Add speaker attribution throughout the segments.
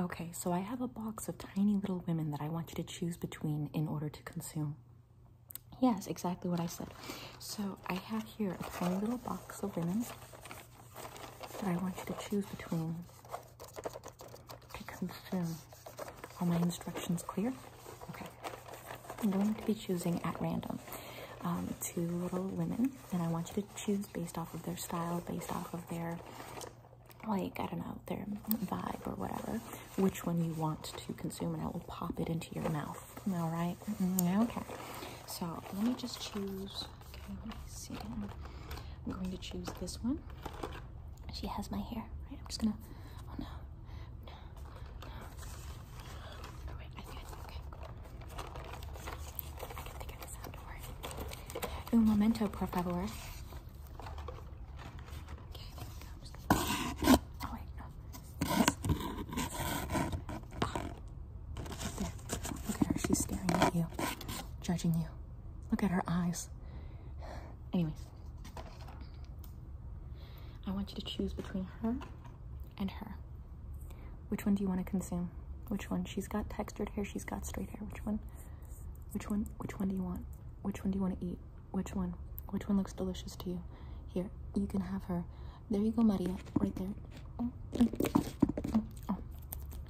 Speaker 1: Okay, so I have a box of tiny little women that I want you to choose between in order to consume. Yes, exactly what I said. So I have here a tiny little box of women that I want you to choose between to consume. Are my instructions clear? Okay. I'm going to be choosing at random um, two little women, and I want you to choose based off of their style, based off of their like, I don't know, their vibe or whatever, which one you want to consume, and I will pop it into your mouth. All right? Mm-hmm, okay. So let me just choose. Okay, let me see. I'm going to choose this one. She has my hair, right? I'm just gonna. Oh no. No. No. wait, I think I, okay. I can think of the favor. momento, por favor. Okay, there we go. Oh, wait, no. Look at her. She's staring at you, judging you. Look at her eyes. Anyways, I want you to choose between her and her. Which one do you want to consume? Which one? She's got textured hair, she's got straight hair. Which one? Which one? Which one do you want? Which one do you want to eat? Which one? Which one looks delicious to you? Here, you can have her. There you go, Maria. Right there. Oh, oh, oh.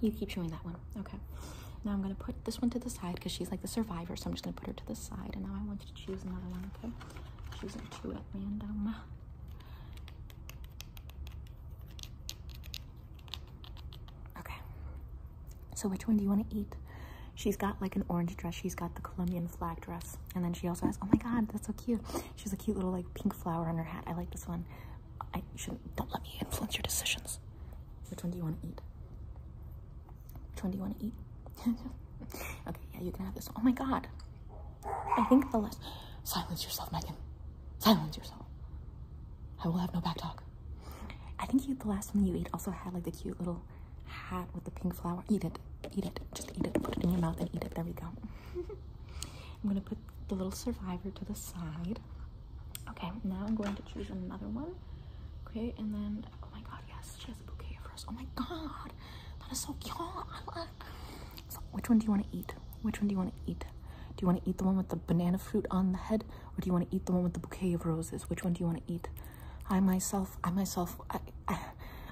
Speaker 1: You keep showing that one. Okay. Now I'm going to put this one to the side because she's like the survivor. So I'm just going to put her to the side. And now I want you to choose another one, okay? Choosing two at random. Okay. So which one do you want to eat? She's got like an orange dress. She's got the Colombian flag dress. And then she also has, oh my God, that's so cute. She has a cute little like pink flower on her hat. I like this one. I shouldn't, don't let me influence your decisions. Which one do you want to eat? Which one do you want to eat? okay, yeah, you can have this. Oh my God. I think the last, silence yourself, Megan. Silence yourself. I will have no back talk. I think the last one you ate also had like the cute little hat with the pink flower. Eat it. Eat it. Just eat it. Put it in your mouth and eat it. There we go. I'm gonna put the little survivor to the side. Okay, now I'm going to choose another one. Okay, and then oh my god, yes, she has a bouquet of roses. Oh my god, that is so cute. which one do you want to eat? Which one do you want to eat? Do you want to eat the one with the banana fruit on the head, or do you want to eat the one with the bouquet of roses? Which one do you want to eat? I myself, I myself, I,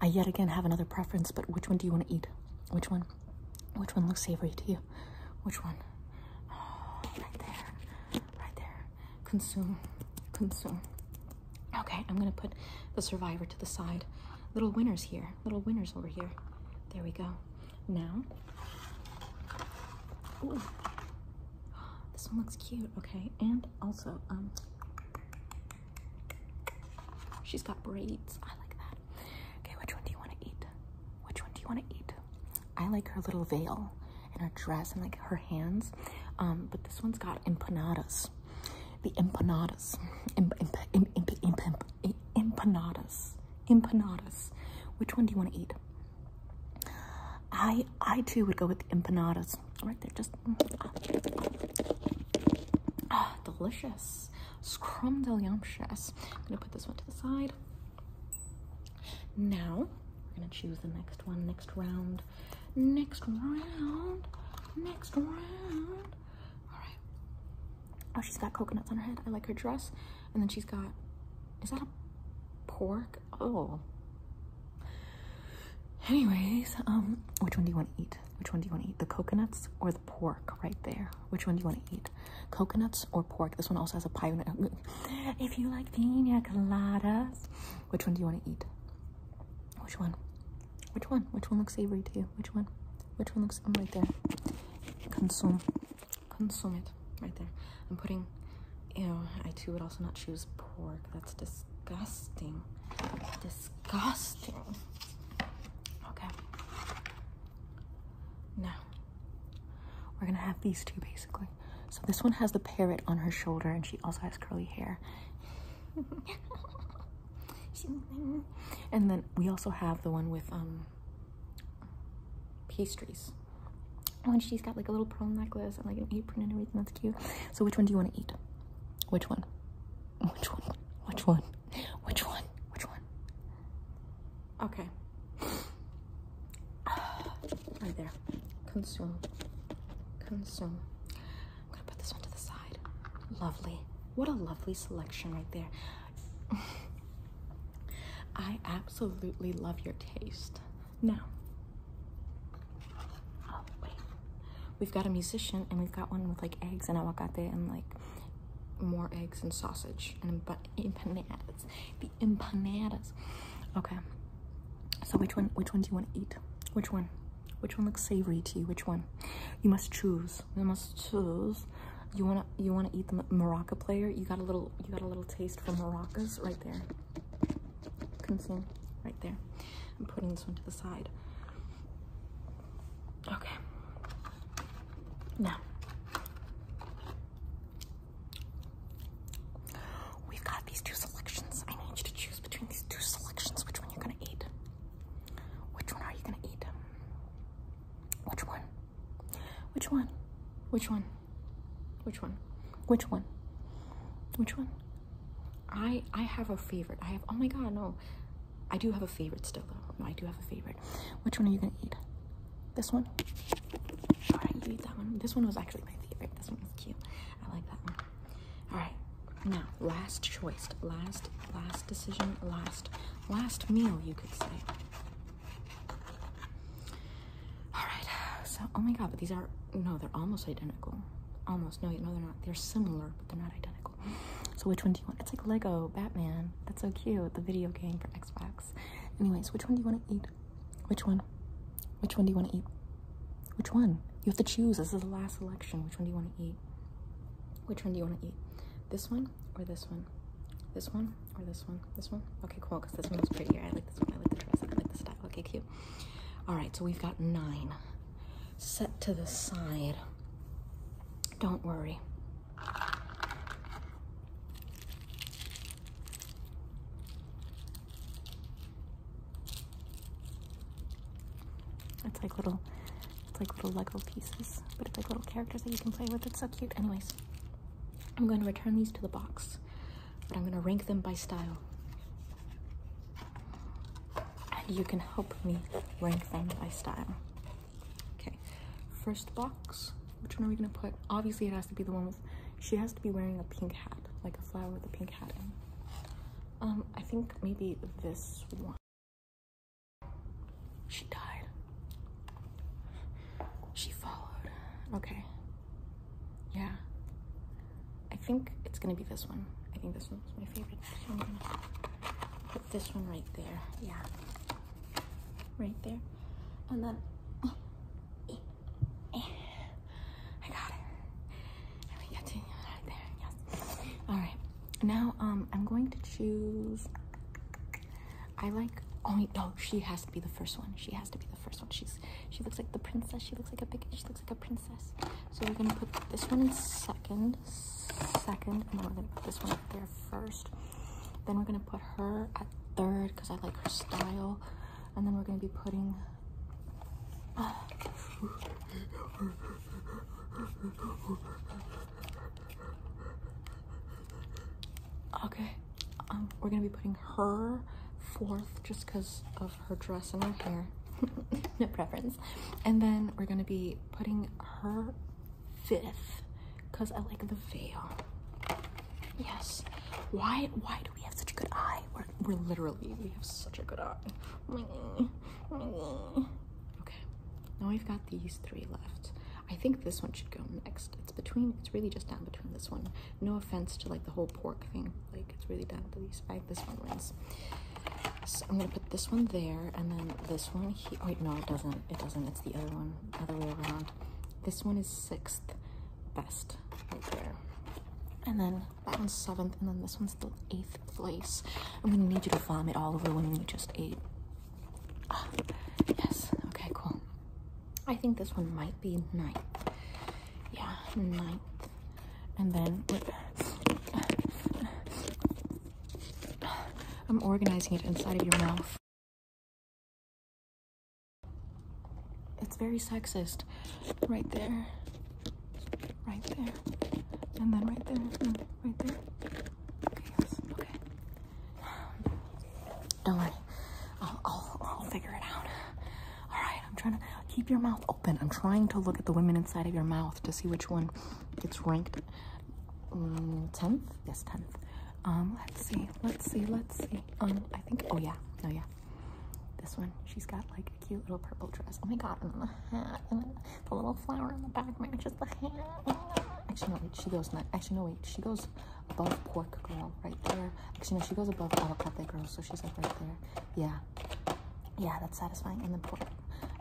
Speaker 1: I, yet again have another preference. But which one do you want to eat? Which one? Which one looks savory to you? Which one? right there, right there. Consume, consume. Okay, I'm gonna put the survivor to the side. Little winners here. Little winners over here. There we go. Now, this one looks cute. Okay, and also, um, she's got braids. I like that. Okay, which one do you want to eat? Which one do you want to eat? I like her little veil and her dress and like her hands. Um, but this one's got empanadas. The empanadas. Imp, imp, imp, empanadas. Empanadas. Which one do you want to eat? I I too would go with empanadas. Right there, just ah, ah delicious. Scrumdiddlyumptious. I'm gonna put this one to the side. Now we're gonna choose the next one, next round, next round, next round. All right. Oh, she's got coconuts on her head. I like her dress. And then she's got, is that a pork? Oh. Anyways, um, which one do you want to eat? Which one do you want to eat? The coconuts or the pork right there? Which one do you want to eat? Coconuts or pork? This one also has a pineapple. if you like pina coladas, which one do you want to eat? Which one? Which one? Which one looks savory to you? Which one? Which one looks? I'm right there. Consume. Consume it. Right there. I'm putting. Ew, I too would also not choose pork. That's disgusting. Disgusting. Okay. Now, we're gonna have these two basically. So this one has the parrot on her shoulder and she also has curly hair. and then we also have the one with um pastries. Oh, and she's got like a little pearl necklace and like an apron and everything. That's cute. So which one do you want to eat? Which one? Which one? Which one? Which one? Which one? Okay. right there. Consume. Consume. I'm gonna put this one to the side. Lovely. What a lovely selection right there. I absolutely love your taste. Now, oh wait, we've got a musician and we've got one with like eggs and avocado and like more eggs and sausage and empanadas. The empanadas. Okay. So which one? Which one do you want to eat? Which one? Which one looks savory to you? Which one? You must choose. You must choose. You wanna you wanna eat the maraca player? You got a little you got a little taste for maracas right there. Consume right there. I'm putting this one to the side. Okay. Now we've got these two selections. I need you to choose between these two selections which one you're gonna eat. Which one are you gonna eat? Which one? Which one? Which one? Which one? Which one? Which one? I I have a favorite. I have oh my god no. I do have a favorite still though. I do have a favorite. Which one are you gonna eat? This one? you eat that one. This one was actually my favorite. This one was cute. I like that one. Alright. Now, last choice. Last, last decision, last last meal, you could say. All right, so oh my god, but these are no, they're almost identical. Almost no, no, they're not. They're similar, but they're not identical. So which one do you want? It's like Lego Batman. That's so cute. The video game for Xbox. Anyways, which one do you want to eat? Which one? Which one do you want to eat? Which one? You have to choose. This is the last selection. Which one do you want to eat? Which one do you want to eat? This one or this one? This one or this one? This one? Okay, cool, because this one one's prettier. I like this one. I like the dress. I like the style. Okay, cute. All right, so we've got nine set to the side. Don't worry. It's like little it's like little Lego pieces, but it's like little characters that you can play with. It's so cute. Anyways, I'm going to return these to the box, but I'm going to rank them by style. And you can help me rank them by style. Okay, first box. Which one are we going to put? Obviously, it has to be the one with. She has to be wearing a pink hat, like a flower with a pink hat in. Um, I think maybe this one. She died. She followed. Okay. Yeah. I think it's gonna be this one. I think this one's my favorite. I'm gonna put this one right there. Yeah. Right there. And then uh, eh, eh. I got it. And we get to right there. Yes. Alright. Now um I'm going to choose I like only no, oh, she has to be the first one. She has to be the first one. She's she looks like the princess. She looks like a big she looks like a princess. So we're gonna put this one in second, second, and then we're gonna put this one up there first. Then we're gonna put her at third because I like her style. And then we're gonna be putting Okay, um, we're gonna be putting her fourth just because of her dress and her hair. no preference. And then we're gonna be putting her fifth because I like the veil. Yes. Why why do we have such a good eye? we're literally, we have such a good eye. Okay, now we've got these three left. I think this one should go next. It's between, it's really just down between this one. No offense to like the whole pork thing, like it's really down to these. I, this one wins. So I'm gonna put this one there and then this one here. Oh, wait, no, it doesn't. It doesn't. It's the other one, other way around. This one is sixth best right there. And then that one's seventh, and then this one's the eighth place. I'm gonna need you to vomit all over the women you just ate. Ah, yes, okay, cool. I think this one might be ninth. Yeah, ninth. And then I'm organizing it inside of your mouth. It's very sexist right there right there, and then right there, mm, right there. Don't worry, I'll, figure it out. All right, I'm trying to keep your mouth open. I'm trying to look at the women inside of your mouth to see which one gets ranked 10th. Mm, yes, 10th. Um, let's see, let's see, let's see. Um, I think, oh yeah, oh yeah. This one, she's got like cute little purple dress. Oh my god, and then the hat, and then the little flower in the back matches the hat. Actually, no, wait, she goes Actually, no, wait, she goes above pork girl right there. Actually, no, she goes above avocado girl, so she's like right there. Yeah, yeah, that's satisfying. And then pork,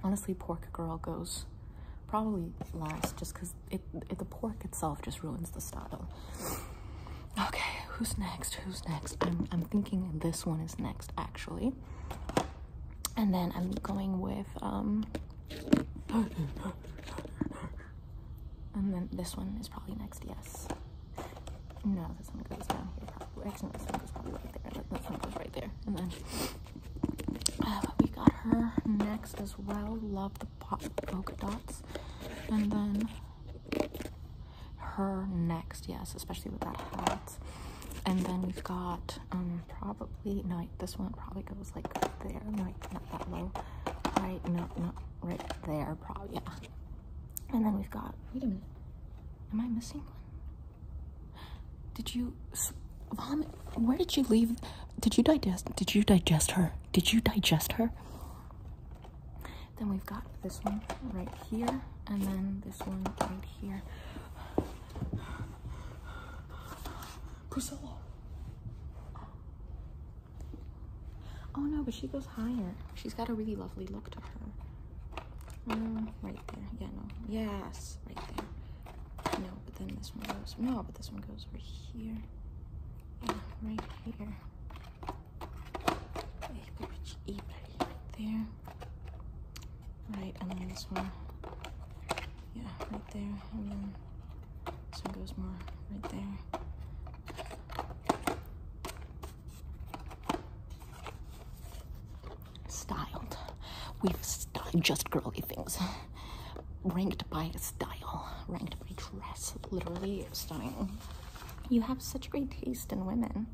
Speaker 1: honestly, pork girl goes probably last just because it, it, the pork itself just ruins the style. Okay, who's next? Who's next? I'm, I'm thinking this one is next, actually. And then I'm going with, um, and then this one is probably next, yes. No, this one goes down here Actually, this one goes probably right there. This one goes right there. And then uh, we got her next as well. Love the polka dots. And then her next, yes, especially with that and then we've got um, probably no this one probably goes like there. No, not that low. Right, no, not right there, probably yeah. And then we've got wait a minute. Am I missing one? Did you vomit? Where did you leave? Did you digest? Did you digest her? Did you digest her? Then we've got this one right here, and then this one right here here. Priscilla. Oh no, but she goes higher. She's got a really lovely look to her. Mm, right there. Yeah, no. Yes, right there. No, but then this one goes. No, but this one goes over here. right here right there. Right, and then this one. Yeah, right there. And then this one goes more right there. Styled. We've styled just girly things. Ranked by style, ranked by dress, literally styling. You have such great taste in women.